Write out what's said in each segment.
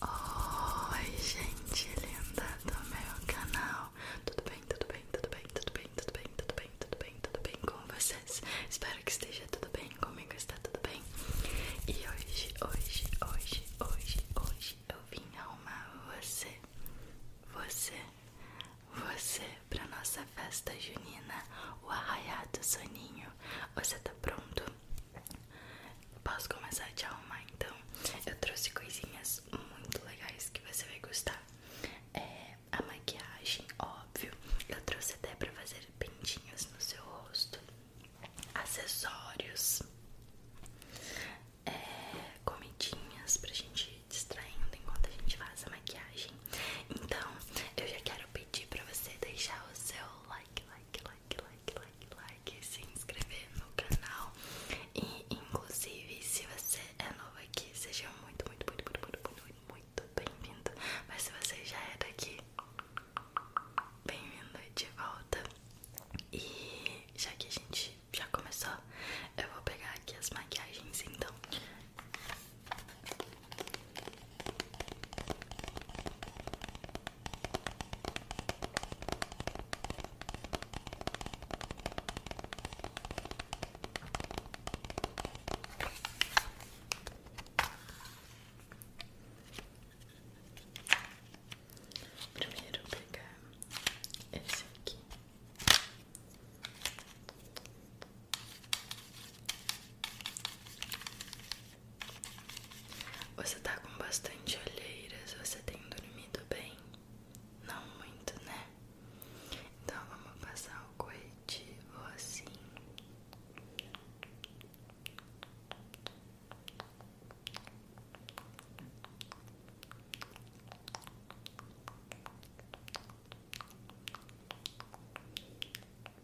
Oi gente linda do meu canal, tudo bem, tudo bem, tudo bem, tudo bem, tudo bem, tudo bem, tudo bem, tudo bem com vocês? Espero que esteja tudo bem, comigo está tudo bem? E hoje, hoje, hoje, hoje, hoje eu vim arrumar você, você, você para nossa festa junina, o arraiado soninho, você tá pronto? Posso começar a te arrumar então? Eu trouxe coisinhas muito legais que você vai gostar. É, a maquiagem, óbvio. Eu trouxe até pra fazer pentinhos no seu rosto, acessórios, é, comidinhas pra gente ir distraindo enquanto a gente faz a maquiagem. Então, eu já quero pedir pra você deixar o seu like, like, like like, like, like, like, se inscrever no canal. E inclusive, se você é novo aqui, seja muito, muito, muito, muito, muito, muito, bem-vindo. Mas se você já era é aqui bem-vindo de volta. E já que a gente já começou, eu vou pegar aqui as maquiagens então. Primeiro vou pegar esse aqui. Você tá com bastante olheiras, você tem dormido bem? Não muito, né? Então vamos passar o corretivo assim.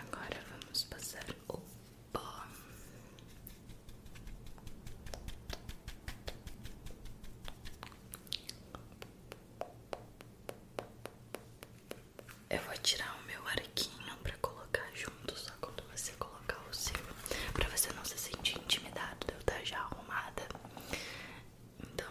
Agora vamos passar o pó. Eu vou tirar o meu arquinho para colocar junto, só quando você colocar o seu, para você não se sentir intimidado, eu tá já arrumada. Então,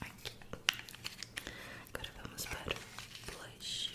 Aqui. Agora vamos para blush.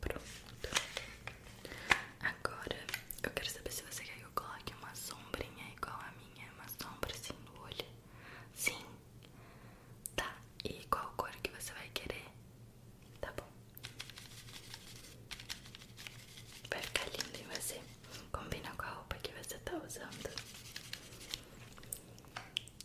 Pronto. Agora eu quero saber se você quer que eu coloque uma sombrinha igual a minha, uma sombra assim no olho. Sim. Tá. E qual cor que você vai querer? Tá bom. Vai ficar lindo em você. Combina com a roupa que você tá usando.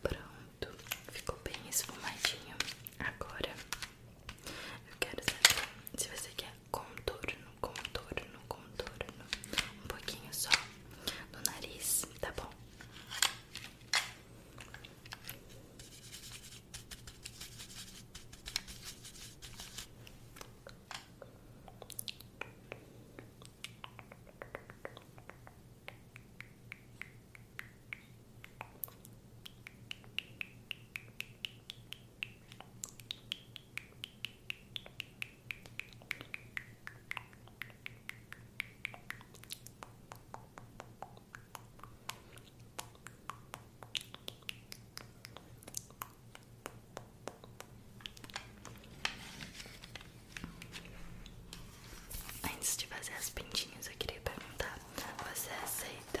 Pronto, ficou bem esfumadinho. Agora eu quero saber se você quer contorno, contorno, contorno, um pouquinho só no nariz, tá bom? Antes de fazer as pintinhas, eu queria perguntar: você aceita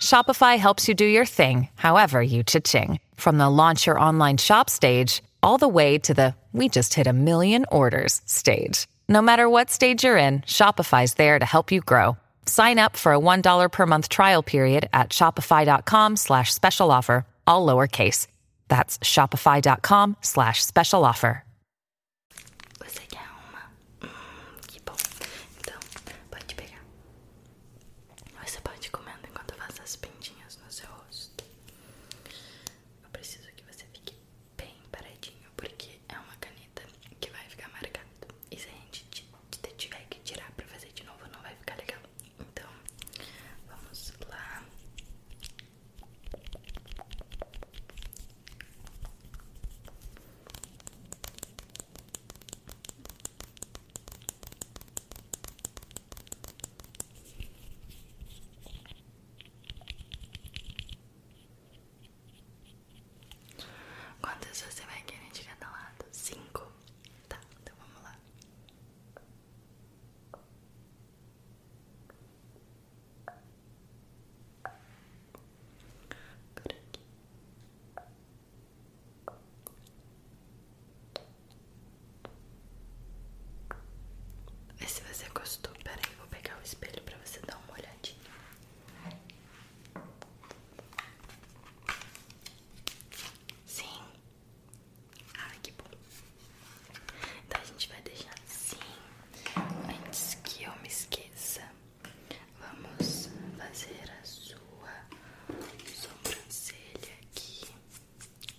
Shopify helps you do your thing, however you cha-ching. From the launch your online shop stage, all the way to the we just hit a million orders stage. No matter what stage you're in, Shopify's there to help you grow. Sign up for a $1 per month trial period at shopify.com slash special offer, all lowercase. That's shopify.com slash special offer. Você quer uma? Hum, que bom. Então, pode pegar. Você pode ir comendo enquanto eu faço as pintinhas no seu rosto. Eu preciso que você fique bem paradinho, porque é uma caneta que vai ficar marcada. E se a gente tiver que tirar pra fazer de novo, não vai ficar legal. Então, vamos lá. Quantas você vai querer de cada lado? Cinco? Tá, então vamos lá. Por aqui. Vê se você gostou. Peraí, vou pegar o espelho pra você dar uma olhadinha. Sim. Ai, que bom. Então a gente vai deixar assim antes que eu me esqueça. Vamos fazer a sua sobrancelha aqui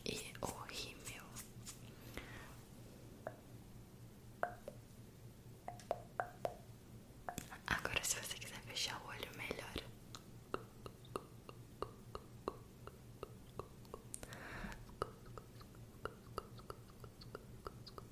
e o rímel. Agora, se você quiser fechar o olho, melhor.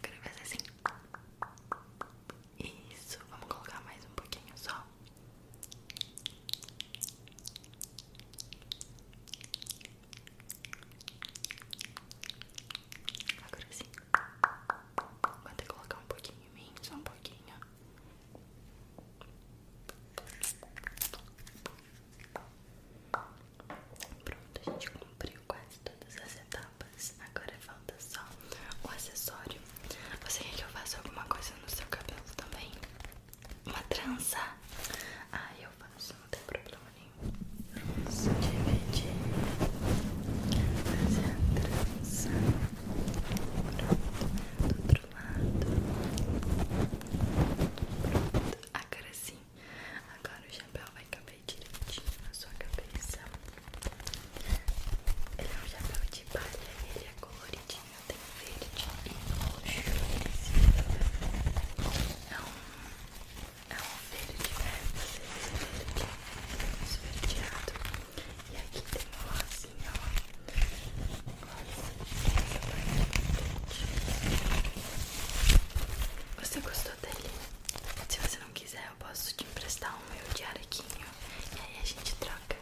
Quero fazer assim. Isso, vamos colocar mais um pouquinho só. Agora sim. Vou até colocar um pouquinho em mim, só um pouquinho. Pronto, a gente cumpriu quase todas as etapas. Agora falta só o acessório. Você quer que eu faça alguma coisa no seu cabelo também? Uma trança? Ah, eu não tem problema nenhum. Vamos dividir, fazer a trança pronto, do outro lado, agora sim, agora o chapéu vai caber direitinho na sua cabeça. Ele é um chapéu de palha, ele é coloridinho, tem verde e roxo. É um é um verde, verde, esverdeado. E aqui tem uma rosinha, ó. Olha, Você gostou dele? Se você não quiser, eu posso te emprestar o meu diarequinho e aí a gente troca.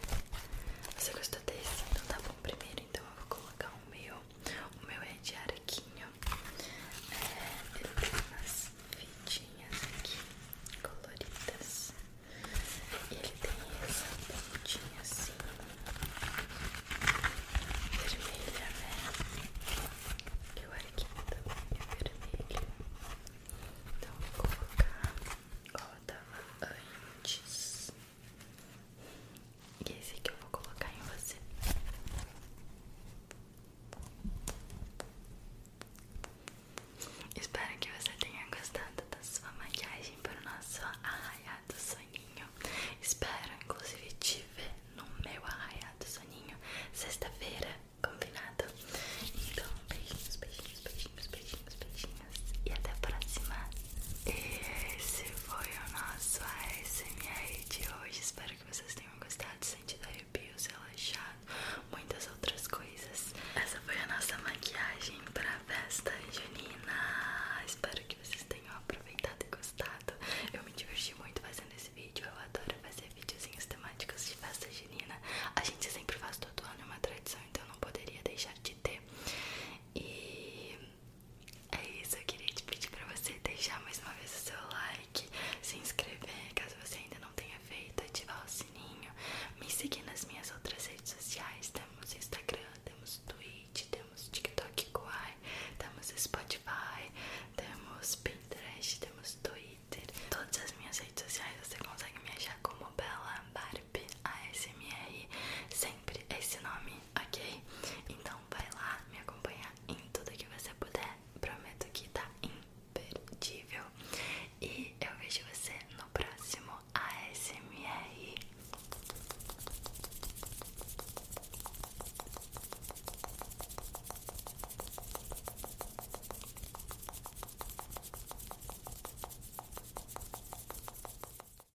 Você gostou desse? Então tá bom primeiro, então eu vou colocar o meu. O meu é de araquinho ele é, tem eu umas fitinhas aqui coloridas. E ele tem essa pontinha assim, vermelha, né? Que o arquinho também é vermelho. Então vou colocar ó dava antes é esse que eu vou colocar em você. Espero que você tenha gostado da sua maquiagem para o nosso arraiado soninho. Espero, inclusive, te ver no meu arraiado soninho sexta-feira, combinado? Então, beijinhos, beijinhos, beijinhos, beijinhos, beijinhos. E até a próxima esse foi o nosso ASMR de hoje. Espero que vocês tenham gostado, sentido se relaxado, muitas outras coisas. Essa foi a nossa maquiagem pra festa junina. Espero que vocês tenham aproveitado e gostado. Eu me diverti muito fazendo esse vídeo. Eu adoro fazer videozinhos temáticos de festa junina. A gente sempre faz todo ano, é uma tradição, então não poderia deixar de ter. E é isso, eu queria te pedir pra você deixar mais uma vez o seu like, se inscrever caso você ainda não tenha feito, ativar o sininho, me seguir nas minhas outras redes sociais, temos Instagram, temos Twitch, temos TikTok Kuai, temos Spotify, temos Pinterest, temos Twitter, todas as minhas redes sociais você consegue me achar como Bela Barbie ASMR, sempre esse nome ok? Então vai lá me acompanhar em tudo que você puder. Prometo que tá imperdível. E eu vejo você no próximo ASMR.